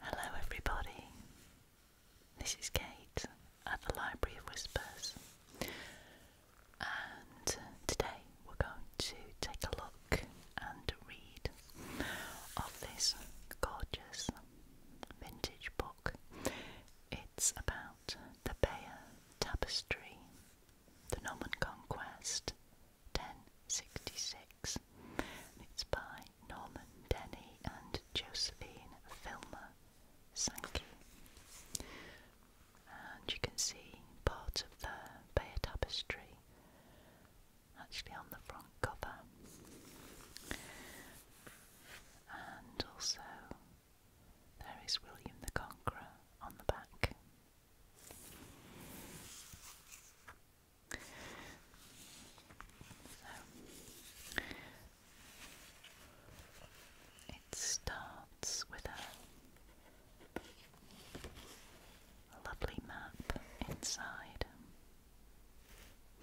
Hello, everybody. This is Kate at the Library of Whispers, and today we're going to take a look and read of this gorgeous vintage book. It's about the Bayer Tapestry, the Norman Conquest, 1066. it's by Norman Denny and Josephine Filmer Sankey. And you can see part of the Bayer tapestry actually on the front cover. And also there is William the Conqueror on the back it starts with a, a lovely map inside,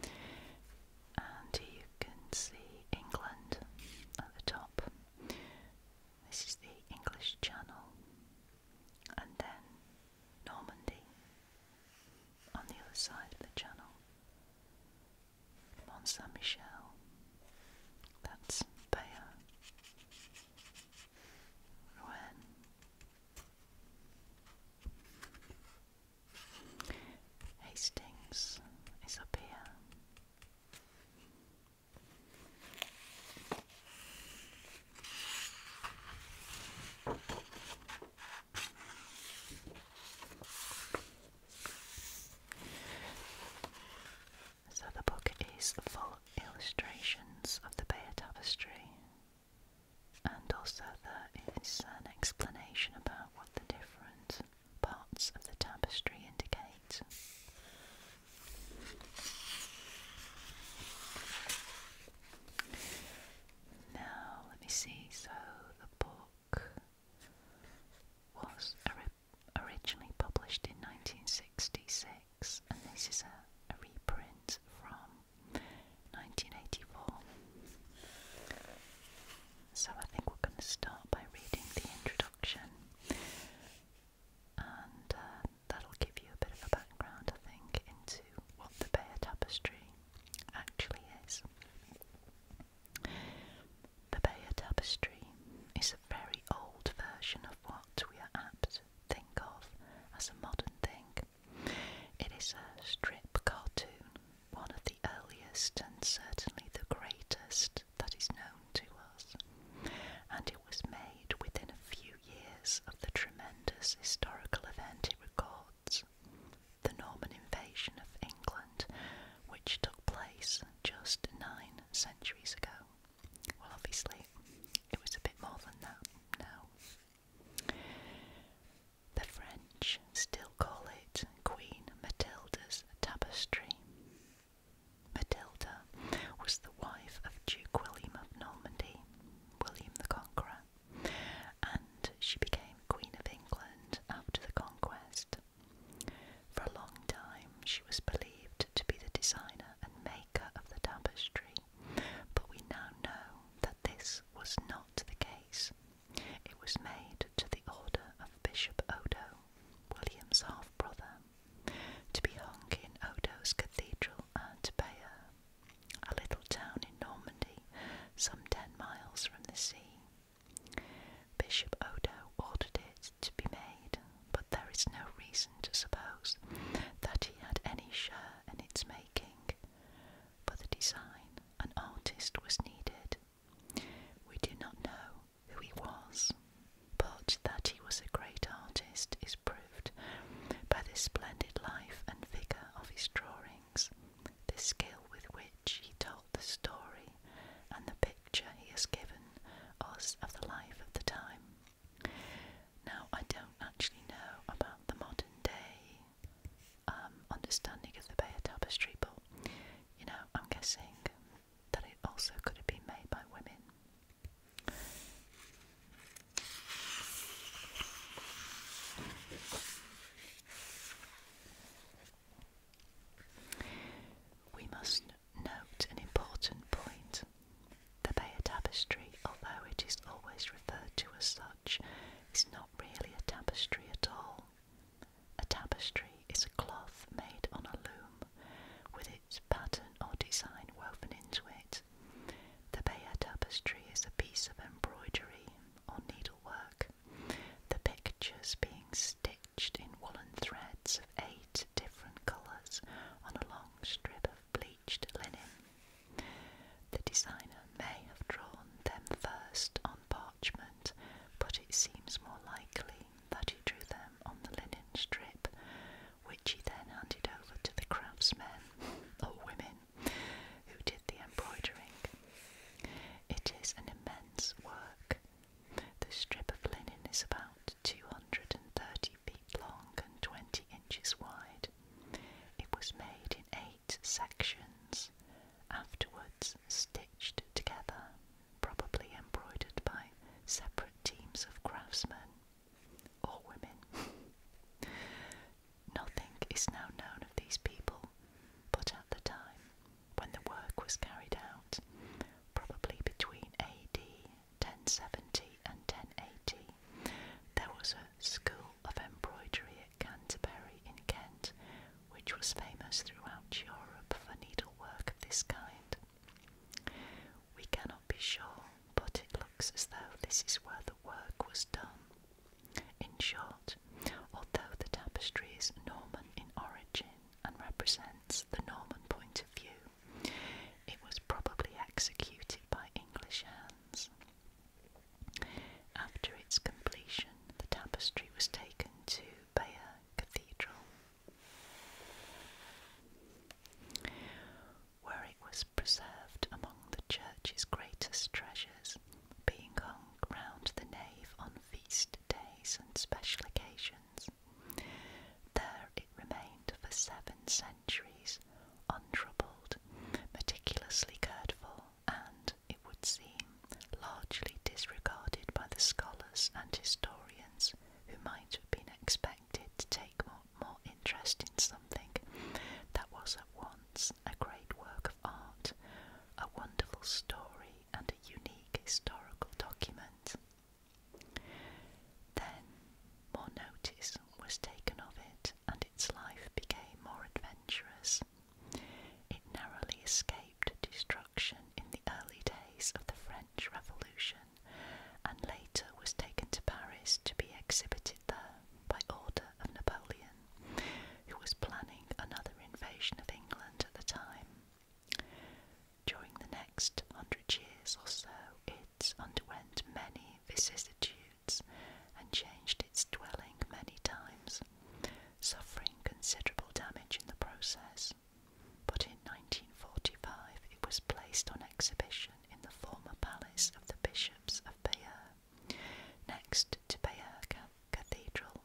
and you can see England at the top. This is the English Channel, and then Normandy, on the other side of the channel, Mont Saint Michel, that's Bayeux, Rouen. Hastings is up here. So the book is full illustrations of the Bayer tapestry, and also there is an explanation about what the different parts of the tapestry indicate. Now, let me see. So, the book was originally published in 1966, and this is a, reprint from 1984. So, I think we're going to start by reading the introduction. And uh, that'll give you a bit of a background, I think, into what the Bayer Tapestry actually is. The Bayer Tapestry is a very old version of what we are apt to think of as a modern thing. It is a strip cartoon, one of the earliest and certainly the greatest that is known to us, and it was made within a few years of the tremendous historical event it records, the Norman invasion of England, which took place just nine centuries ago. Well, obviously, it was a bit more than that now. The French still call it Queen Matilda's Tapestry. Matilda was the wife of Duke William of Normandy William the Conqueror, and she became Queen of England after the conquest. For a long time, she was believed to be the designer and maker of the tapestry, but we now know that this was not the case. It was made to the order of Bishop Odo, William's half brother, to be hung in Odo's cathedral at Bayeux a little town in Normandy, some ten miles from the sea. Bishop Odo ordered it to be made, but there is no reason to suppose that he had any share in its making. For the design, an artist was needed. We do not know who he was, but that he was a great artist is proved by the splendid life and vigour of his drawings, the skill with which he told the story, and the picture he has given us of the life of the time. Now, I don't actually know about the modern day um, understanding of the Bayer tapestry, but you know, I'm guessing that it also could have been made by women. We must note an important point. The Bayer tapestry, although it is always referred to as such, is not really a tapestry at all. A tapestry is a cloth made on a loom with its pattern or design woven into it. The Bayeux tapestry is a piece of embroidery or needlework, the pictures being stitched in woolen threads of eight different colours on a long strip of bleached linen. The designer may have drawn them first on parchment, but it seems more likely that he drew them on the linen strip, which he then handed over to the craftsmen or women who did the embroidering. It is an immense work. The strip of linen is about 230 feet long and 20 inches wide. It was made in eight sections, afterwards stitched together, probably embroidered by separate teams of craftsmen or women. Nothing is now known of these people, but at the time when the work was carried out, probably between AD 1070 and 1080, there was a school of embroidery at Canterbury in Kent, which was famous throughout Europe for needlework of this kind. We cannot be sure but it looks as though this is where the work was done. In short, although the tapestry is Norman in origin and represents the Norman point of view, it was probably executed by English hands. After its completion, the tapestry was taken to Bayeux Cathedral where it was preserved among the church's greatest treasures, being hung round the nave on feast days and special occasions. There it remained for seven centuries, untroubled, meticulously cared for, and, it would seem, largely disregarded by the scholars and historians who might have been expected to take more interest in something that was at once a great work of art, a wonderful story, and a unique historical document. Then more notice was taken of it, and its life became more adventurous. It narrowly escaped destruction in the early days of the French Revolution and later was taken to Paris to be exhibited there by order of Napoleon, who was planning another invasion of England at the time. During the next hundred years or so, it underwent many vicissitudes and changed its dwelling many times, suffering considerable damage in the process. But in 1945, it was placed on exhibition in the former palace of the bishops of Bayeux, next to Bayeux Cathedral.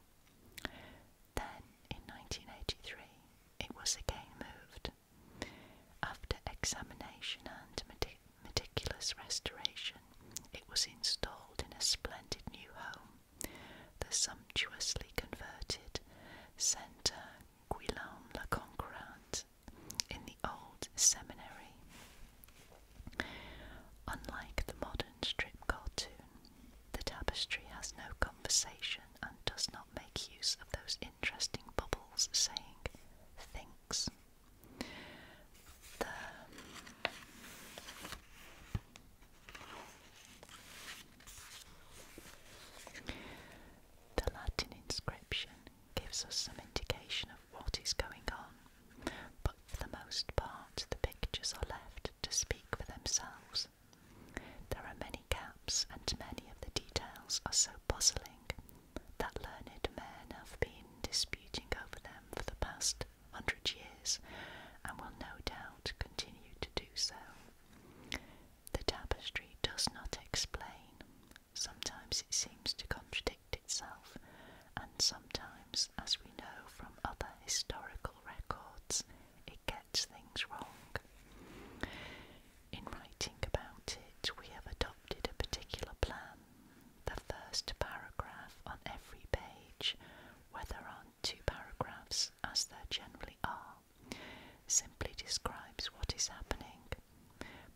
Then, in 1983, it was again moved. After examination and meticulous restoration, it was installed in a splendid new home, the sumptuously converted Centre Guillaume Le Conquérante in the old seminary. Unlike the modern strip cartoon, the tapestry has no conversation and does not make use of those interesting bubbles saying thinks. the Latin inscription gives us some indication of what is going on, but for the most part, the pictures are left to speak for themselves. There are many gaps, and many of the details are so puzzling that learned men have been disputing over them for the past hundred years and will no doubt continue to do so. The tapestry does not explain sometimes it seems to contradict itself, and sometimes, as we know from other historical records, it gets things wrong. In writing about it, we have adopted a particular plan. The first paragraph on every page, whether on two paragraphs as there generally are, simply describes what is happening,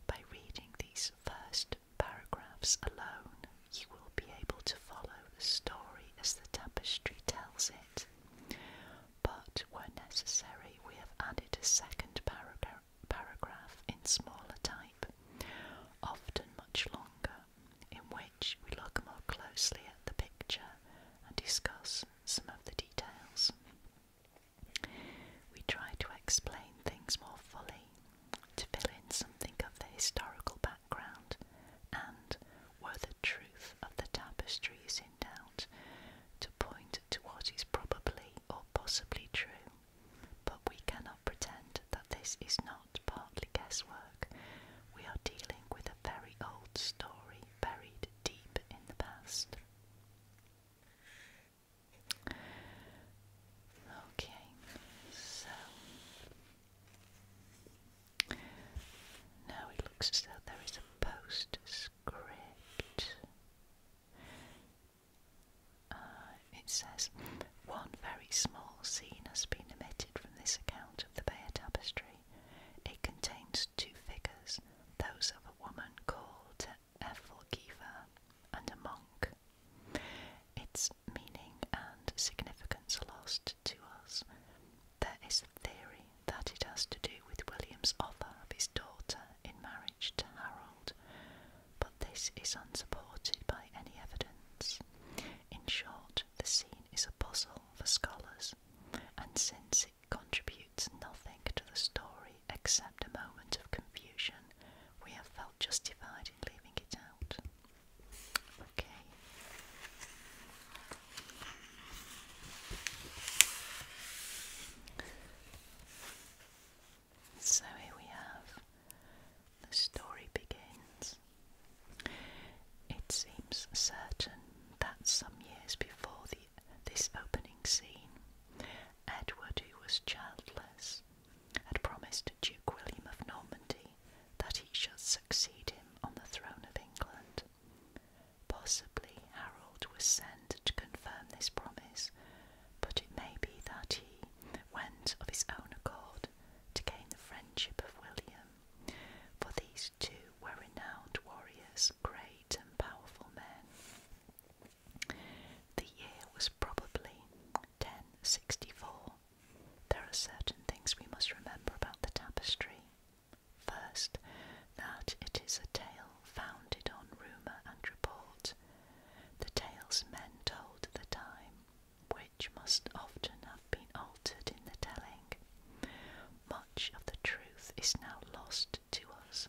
by reading these first paragraphs alone, you will be able to follow the story as the tapestry tells it. But when necessary, we have added a second paragraph in smaller type, often much longer, in which we look more closely at the picture and discuss some of the details. We try to explain things more fully, to fill in something of the historical background, and, where the truth of the tapestry is in doubt, to point to what is probably or possibly true. But we cannot pretend that this is not partly guesswork. We are dealing with a very old story buried deep in the past. Okay, so now it looks as though there is a postscript. Uh, it says one very small scene has been omitted from this account of the Bayer tapestry. It contains two figures, those of a woman called Ethelgiva and a monk. Its meaning and significance are lost to us. There is a theory that it has to do with William's offer of his daughter in marriage to Harold, but this is unsupported by any evidence. In short, the scene is a puzzle for scholars, and since it contributes nothing to the story, except a moment of confusion, we have felt justified in leaving it out. Okay. So here we have the story begins. It seems certain that some years before this opening scene, Edward, who was childless, had promised Duke William of Normandy that he should succeed him on the throne of England. Possibly Harold was sent to confirm this promise, but it may be that he went of his own accord to gain the friendship of William, for these two were renowned warriors, great and powerful men. The year was probably 1064. There are certain things we must remember about the tapestry. First, that it is a tale founded on rumour and report, the tales men told at the time, which must often have been altered in the telling. Much of the truth is now lost to us,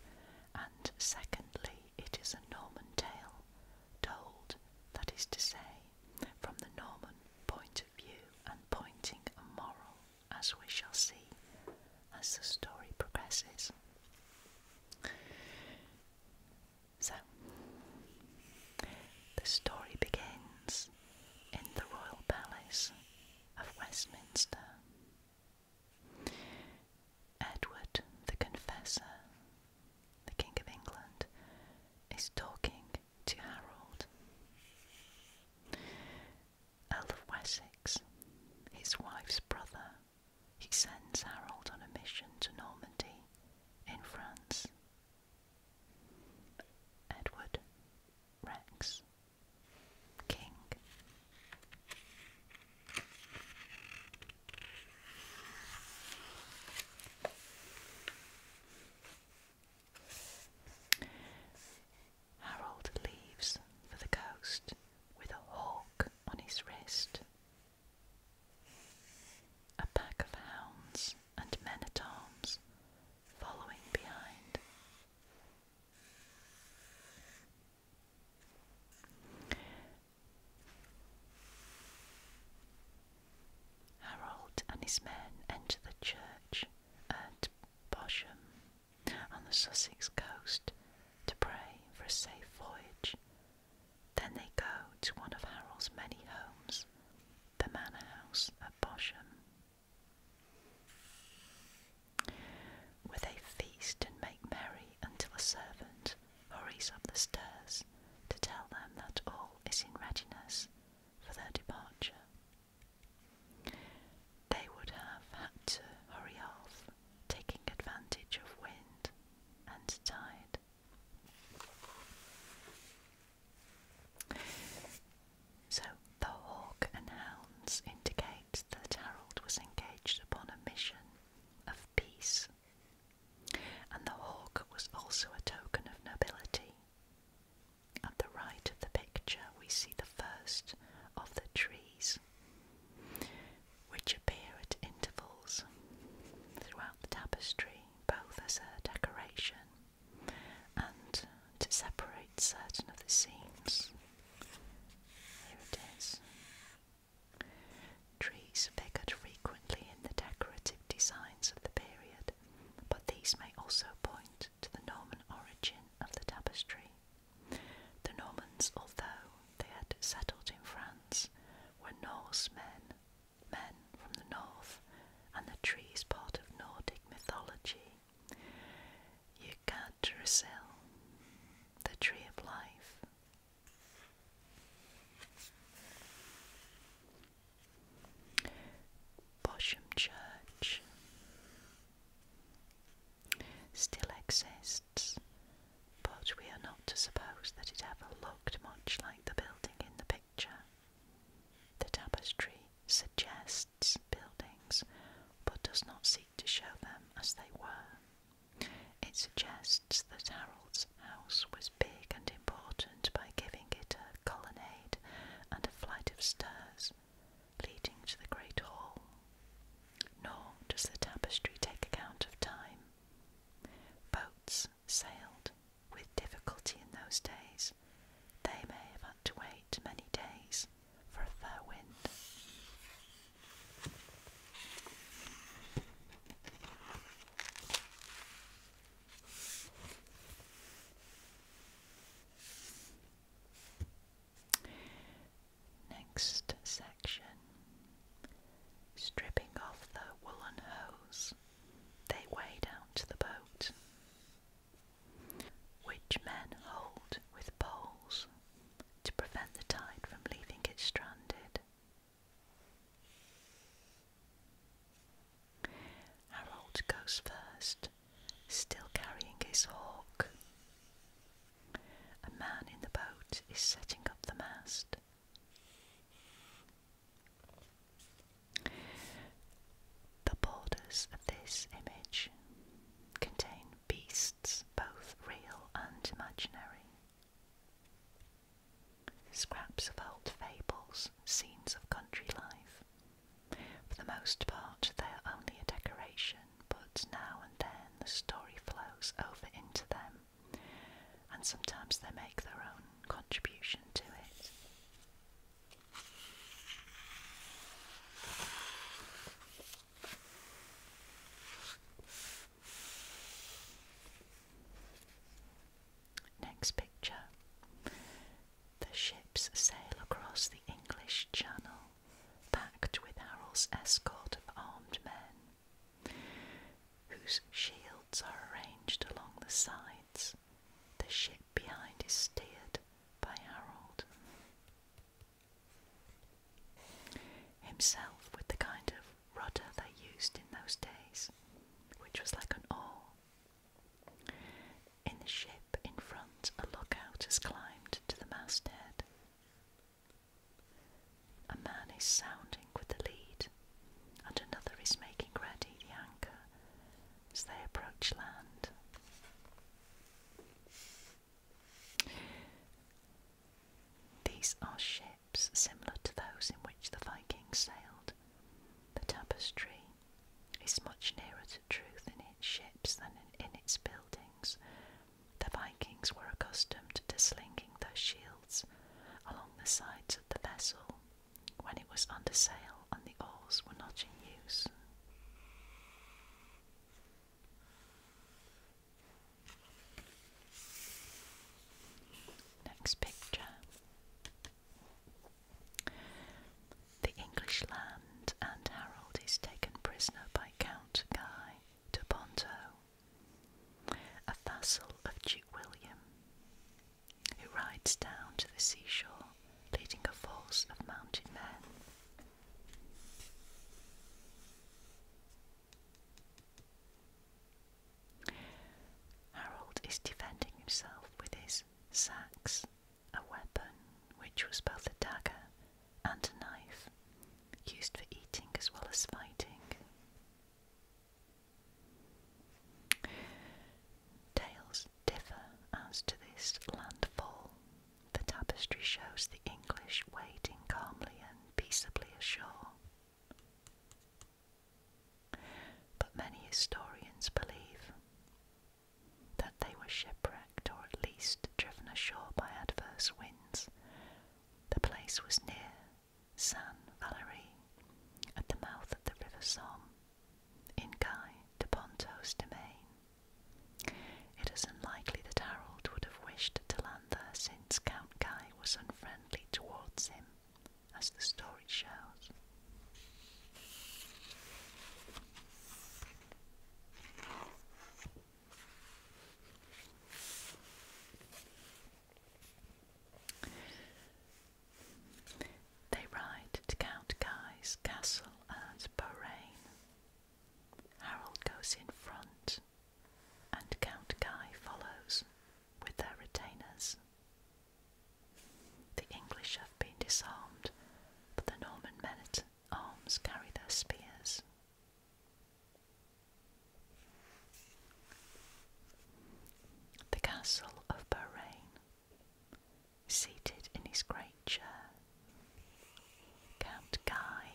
and secondly, it is a Norman tale, told, that is to say, from the Norman point of view and pointing a moral, as we shall see as the story progresses. So, the story begins in the Royal Palace of Westminster. Edward the Confessor, the King of England, is talking to Harold. Earl of Wessex, his wife's brother, he sends Harold on a mission to Normandy in France. Edward Rex, King. Harold leaves for the coast with a hawk on his wrist. A pack of hounds and men at arms following behind. Harold and his men enter the church at Bosham on the Sussex coast to pray for a safe voyage. Then they go to one of Harold's many homes, the manor house at Bosham. Where they feast and make merry until a servant hurries up the stairs to tell them that all is in readiness for their departure. They would have had to hurry off, taking advantage of wind and tide. So the hawk and hounds indicate that Harold was engaged upon a mission of peace, and the hawk was also a token of nobility. At the right of the picture, we see the first of the trees, which appear at intervals throughout the tapestry, both as a decoration and to separate certain of the scenes. Here it is. Trees figured frequently in the decorative designs of the period, but these may also point to the Norman origin of the tapestry. The Normans, although they had settled in France, were Norsemen, men, from the north, and the tree is part of Nordic mythology. Yggdrasil, the tree of life, Bosham Church still exists, but we are not to suppose that it ever looked much like the building in the picture. The tapestry suggests buildings, but does not seek to show them as they were. It suggests that Harold's house was big and important by giving it a colonnade and a flight of stairs leading to the great hall. Nor does the tapestry take account of time. Boats sailed with difficulty in those days. They may have had to wait many days for a fair wind. Next section stripping off the woolen hose, they wade down to the boat, which men hold with poles to prevent the tide from leaving it stranded. Harold goes first, still carrying his hawk. A man in the boat is setting up the mast. The borders of this image contain beasts, both real and imaginary. Scraps of old fables, scenes of country life. For the most part, they are only a decoration, but now and then the story flows over into them, and sometimes they make their own contribution to it. Next picture. The ships sail across the English Channel, packed with Harold's escort of armed men, whose shields are arranged along the sides. The ship behind is steered by Harold. Himself with the kind of rudder they used in those days, which was like an oar. In the ship in front, a lookout has climbed to the masthead. A man is sounding with the lead, and another is making ready the anchor as they approach land. These are ships similar to those in which the Vikings sailed. The tapestry is much nearer to truth in its ships than in, its buildings. The Vikings were accustomed to slinging their shields along the sides of the vessel when it was under sail and the oars were not in use. Next picture. The English land and Harold is taken prisoner by Count Guy de Ponto, a vassal of Duke William, who rides down to the seashore leading a force of mounted men. Harold is defending himself with his sax, a weapon which was both a dagger and a knife, used for eating as well as fighting. Tales differ as to this landfall. The tapestry shows the English waiting calmly and peaceably ashore. But many historians believe that they were shipwrecked or at least driven ashore by adverse winds. The place was near San Valery, at the mouth of the River Somme, in Guy de Ponto's domain. It is unlikely that Harold would have wished to land there since Guy was unfriendly towards him, as the story shows. They ride to Count Guy's castle at Bahrain. Harold goes in front and Count Guy follows with their retainers. The English have been disarmed, but the Norman men at arms carry their spears. The Castle of Beaurain, seated in his great chair, Count Guy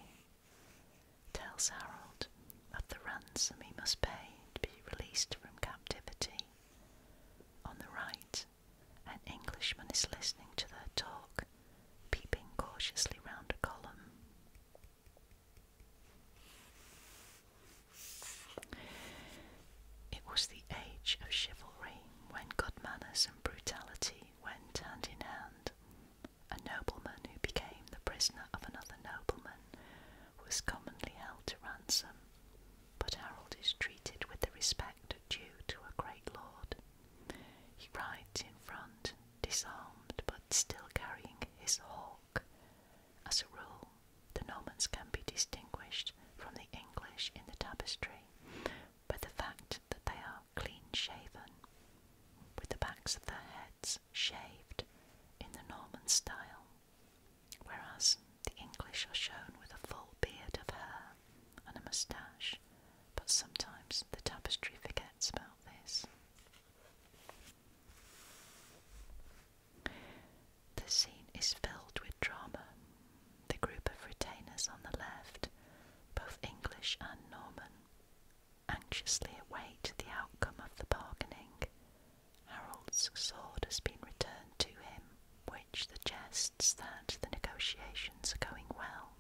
tells Harold of the ransom he must pay to be released from captivity. On the right, an Englishman is listening to their talk, peeping cautiously round a column. It was the age of chivalry when good manners and brutality went hand in hand, a nobleman who became the prisoner of another nobleman, was commonly held to ransom, but Harold is treated with the respect due to a great lord. He rides in front, disarmed but still carrying his hawk. As a rule, the Normans can be distinguished from the English in the tapestry by the fact that they are clean shaven, with the backs of their heads shaved in the Norman style, whereas the English are shown with a full beard of hair and a moustache, but sometimes the tapestry forgets about this. The scene is filled with drama. The group of retainers on the left, both English and Norman, anxiously await the outcome of the bargaining. Harold's sword has been returned to him, which suggests that the negotiations are going well.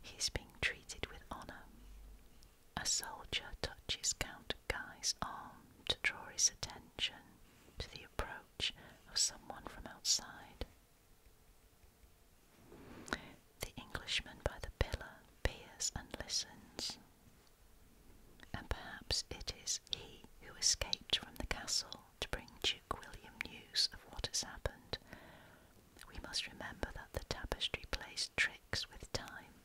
He is being treated with honour. A soldier touches Count Guy's arm to draw his attention to the approach of someone from outside. The Englishman by the pillar peers and listens, and perhaps it is he who escaped from the castle to bring Duke William news of what has happened. We must remember that the tapestry plays tricks with time.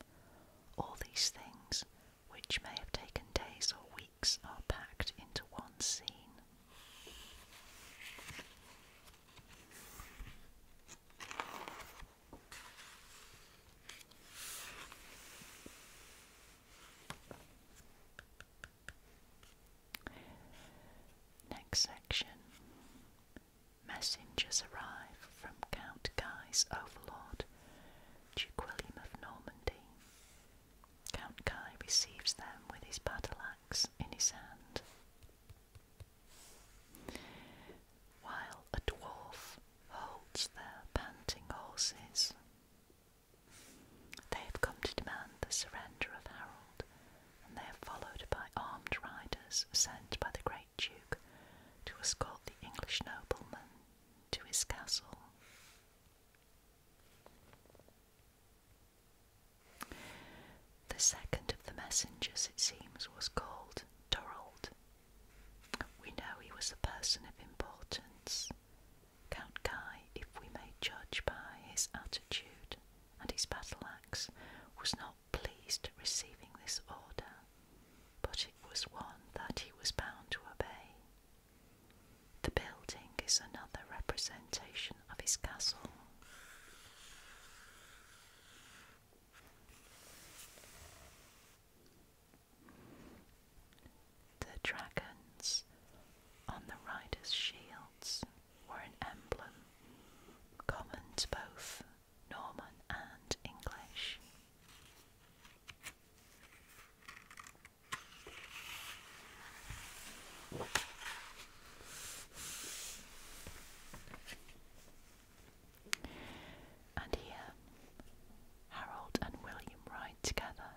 All these things, which may have taken days or weeks, are packed into one scene. Next section Messengers arrive from Count Guy's overlord, Duke William of Normandy. Count Guy receives them with his battle axe in his hand while a dwarf holds their panting horses. They have come to demand the surrender of Harold, and they are followed by armed riders sent by the great duke to escort the English nobleman to his castle. The second of the messengers, it seems, was called Dorold. We know he was a person of importance. Count Guy, if we may judge by his attitude and his battle axe, was not pleased receiving this order, but it was one that he was bound to obey. The building is another representation of his castle. The dragons on the riders' shields were an emblem common to both Norman and English. And here, Harold and William ride together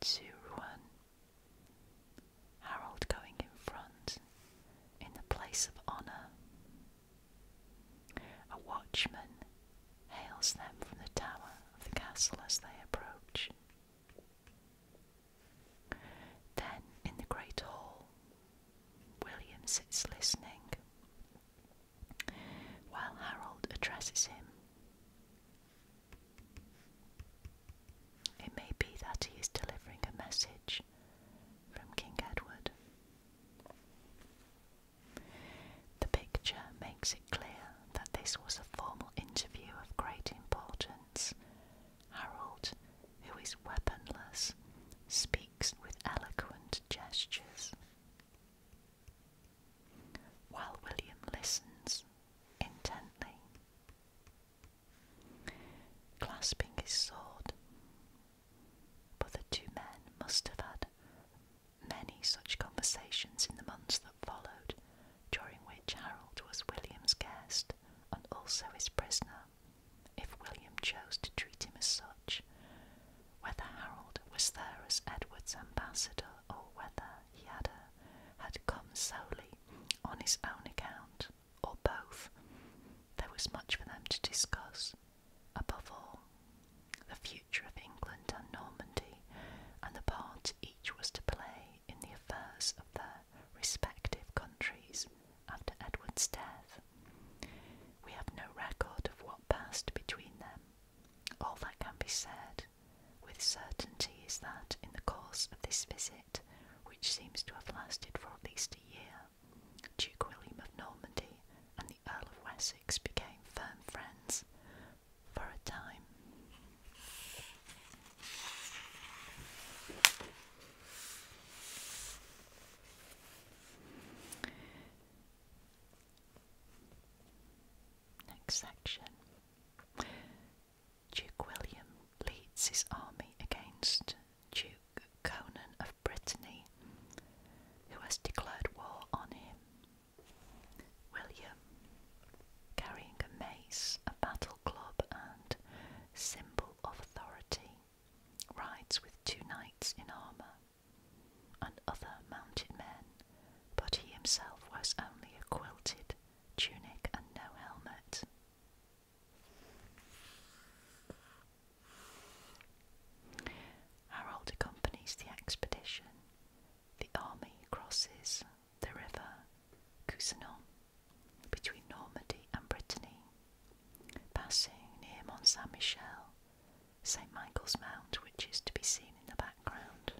to Rouen. Harold going in front in the place of honour. A watchman hails them from the tower of the castle as they approach. Then, in the great hall, William sits listening while Harold addresses him. It may be that he is delivering a message from King Edward. The picture makes it clear that this was a formal interview of great importance Harold, who is weaponless, speaks with eloquent gestures. While William listens intently, clasping his sword. But the two men must have had many such conversations in the months that followed, during which Harold was William's guest and also his prisoner if William chose to treat him as such, whether Harold was there as Edward's ambassador or whether he had, come solely on his own account, or both, there was much for them to discuss. Above all, the future of England and Normandy, and the part each was to play in the affairs of their respective countries after Edward's death. We have no record of what passed between them. All that can be said with certainty is that in the course of this visit, which seems to have lasted for at least a year, Duke William of Normandy and the Earl of Wessex became firm friends for a time. Next section. Duke William leads his army against Duke Conan of Brittany, who has declared war on him. William, carrying a mace, a battle club, and symbol of authority, rides with two knights in armour and other mounted men, but he himself wears only a quilted tunic and no helmet. Harold accompanies the expedition. The army crosses the river Cousinon between Normandy and Brittany, passing near Mont Saint Michel, St Michael's Mount, which is to be seen in the background.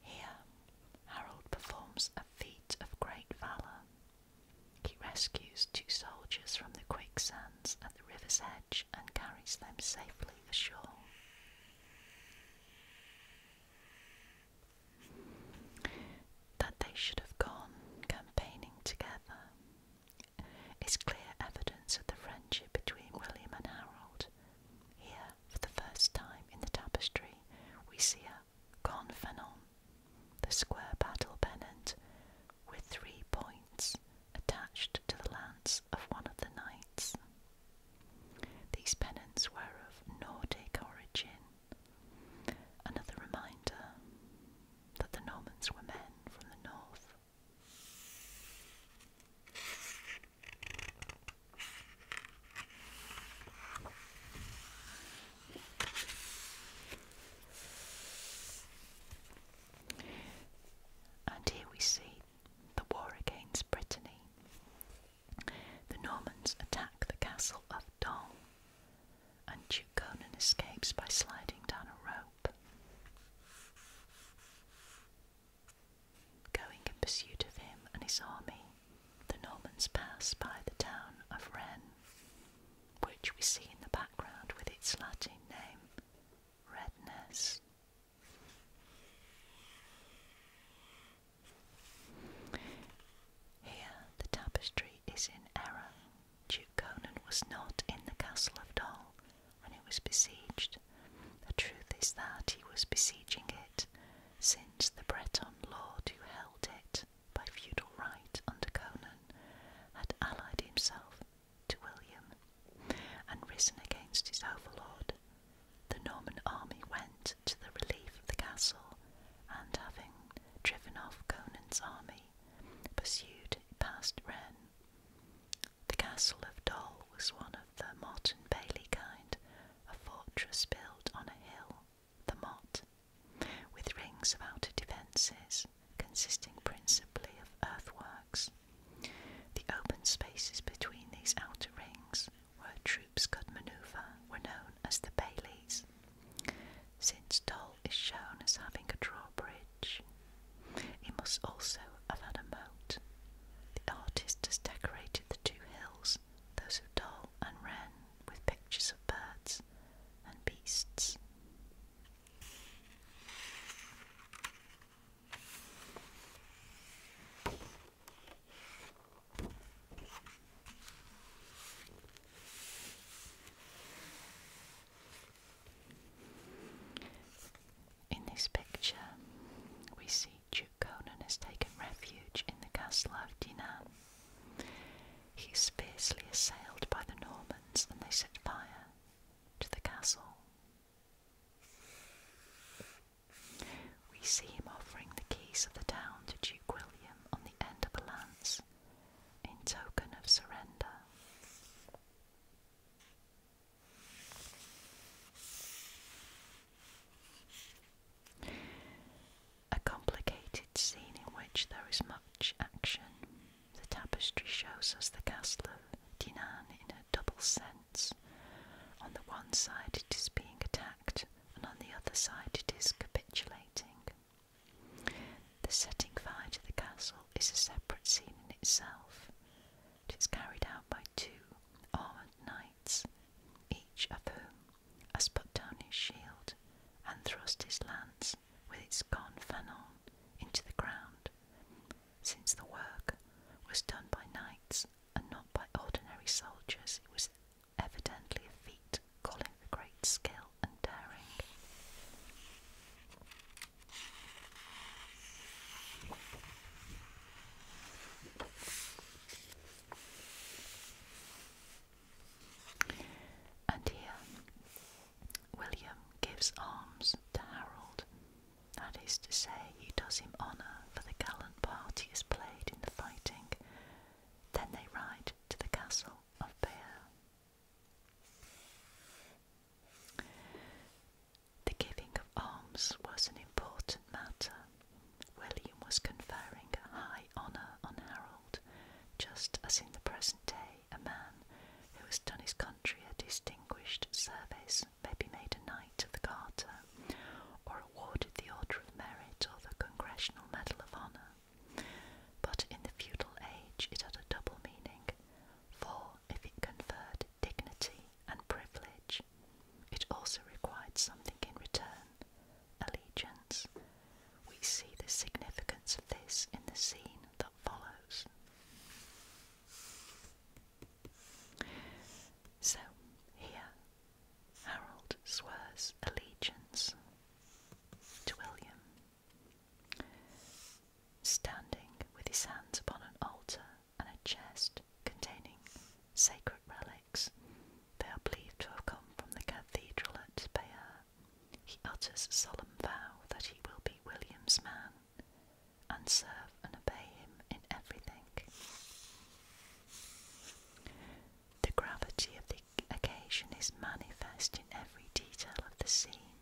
Here, Harold performs a feat of great valour. He rescues two soldiers from the quicksands at the river's edge and carries them safely ashore. That they should have gone campaigning together is clear evidence of the friendship between William and Harold. Here, for the first time in the tapestry, we see a gonfanon, the square battle pennant, with three points attached to the lance of one of the knights. These pennants were of Nordic origin, another reminder that the Normans were men from the north. And here we see the war against Brittany the Normans attack the castle of Dong, and Duke Conan escapes by sliding down a rope. Going in pursuit of him and his army, the Normans pass by the town of Rennes, which we see in the background with its Latin name, Redness. Here the tapestry is in error. Duke Conan was not in the castle of Dol when it was besieged. The truth is that he was besieging it, since the Breton lord who held it by feudal right under Conan had allied himself to William and risen against his overlord, the Norman army went to the relief of the castle and, having driven off Conan's army, pursued it past Rennes. The castle of Dol was one of the motte and Bailey kind, a fortress built on a hill, the Mott, with rings of outer defences consisting principally of earthworks. The open spaces between these outer rings where troops could maneuver were known as the Baileys, since Dol is shown as having a drawbridge. It must also have had a moat. The artist has decorated the two hills, those of Dol and Wren, with pictures of birds and beasts. In this picture, we see Duke Conan has taken refuge in the castle of Dinan. He is fiercely assailed by the Normans and they set fire to the castle. We see him offering the keys of the town to Duke William on the end of a lance in token of surrender. A complicated scene in which there is much action. The tapestry shows us the castle of Dinan in a double sense. On the one side, it is being attacked and on the other side it is capitulating. The setting fire to the castle is a separate scene in itself. It is carried out by two armoured knights, each of whom has put down his shield and thrust his lance with its confanon into the ground, since the work was done by knights and not by ordinary soldiers. It was evidently a feat calling for great skill and daring. And here, William gives alms to Harold, that is to say, he does him honour for the gallant part he has played in the fighting then they ride to the castle of Bayeux. The giving of arms was an important matter. William was conferring high honour on Harold, just as in the present day a man who has done his country a distinguished service may be made a knight of the Garter or awarded the Order of Merit or the Congressional Medal of Honor. But in the feudal age, it had a double meaning, for if it conferred dignity and privilege, it also required something in return allegiance. We see the significance of this in the scene that follows. So, here Harold swears allegiance to William. Standing with his hands upon an altar and a chest containing sacred relics, they are believed to have come from the cathedral at Bayeux. He utters a solemn vow that he will be William's man and serve and obey him in everything. The gravity of the occasion is manifest in every detail of the scene.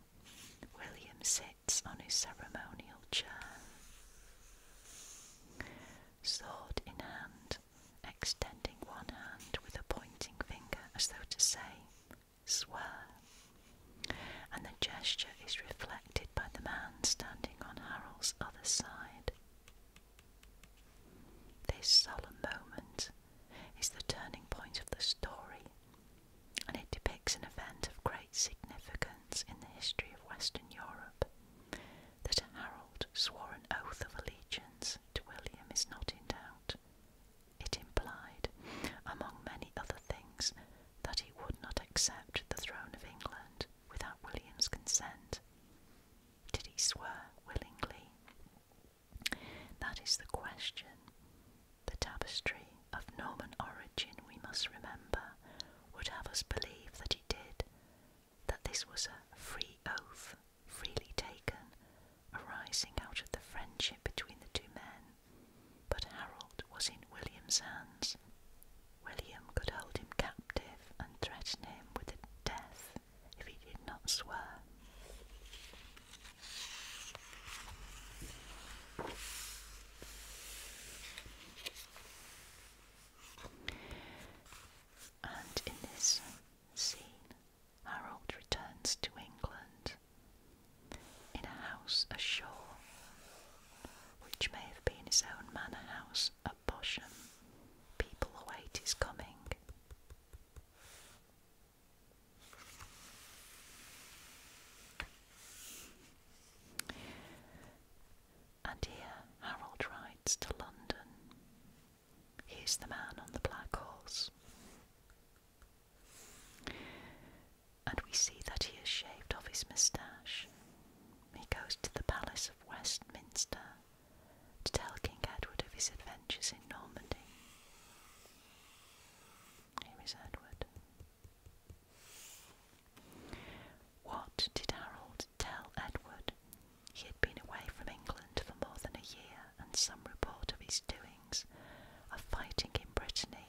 William sits on his ceremonial chair, sword in hand, extending one hand with a pointing finger as though to say, Swear. And the gesture is reflected by the man standing on Harold's other side. This solemn moment is the turning point of the story, and it depicts an event of great significance in the history of Western Europe that a herald swore an oath of allegiance to William is not in doubt. It implied, among many other things, that he would not accept the throne of England without William's consent. Did he swear willingly? That is the question. The tapestry of Norman origin, we must remember, would have us believe that he did, that this was a free oath, freely taken, arising out of the friendship between the two men. But Harold was in William's hands, William could hold him captive and threaten him with death if he did not swear. And in this scene, Harold returns to England in a house ashore, which may have been his own manor house a Bosham. People await his coming. And here Harold rides to London. He the man on the black horse. And we see that he has shaved off his moustache. He goes to the Palace of Westminster to tell King Edward of his adventures in Normandy. Here is Edward. What did Harold tell Edward? He had been away from England for more than a year, and some report of his doings, of fighting in Brittany,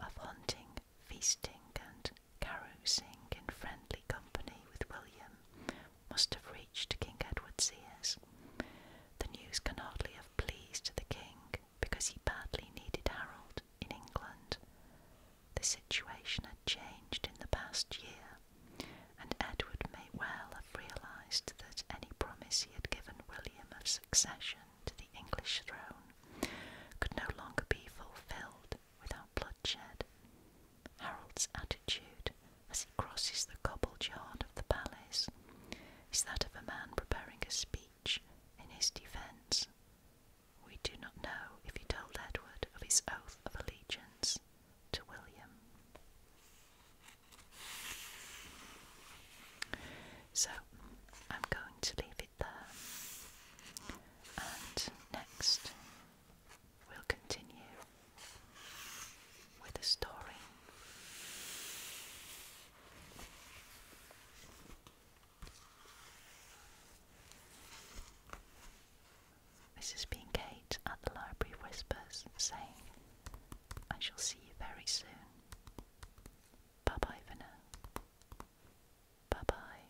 of hunting, feasting, and carousing in friendly company with William must have reached King Edward's ears. The news can hardly have pleased the king because he badly needed Harold in England. The situation had changed in the past year, and Edward may well have realised that any promise he had given William of succession to the English throne could no longer be fulfilled without bloodshed. Harold's attitude as he crosses the cobbled yard of the palace is that of a man preparing a speech in his defence. We do not know if he told Edward of his oath of allegiance to William. So I'm going to leave it there. And next We'll continue with the story. This has at the Library Whispers saying, I shall see you very soon. Bye bye for Bye bye.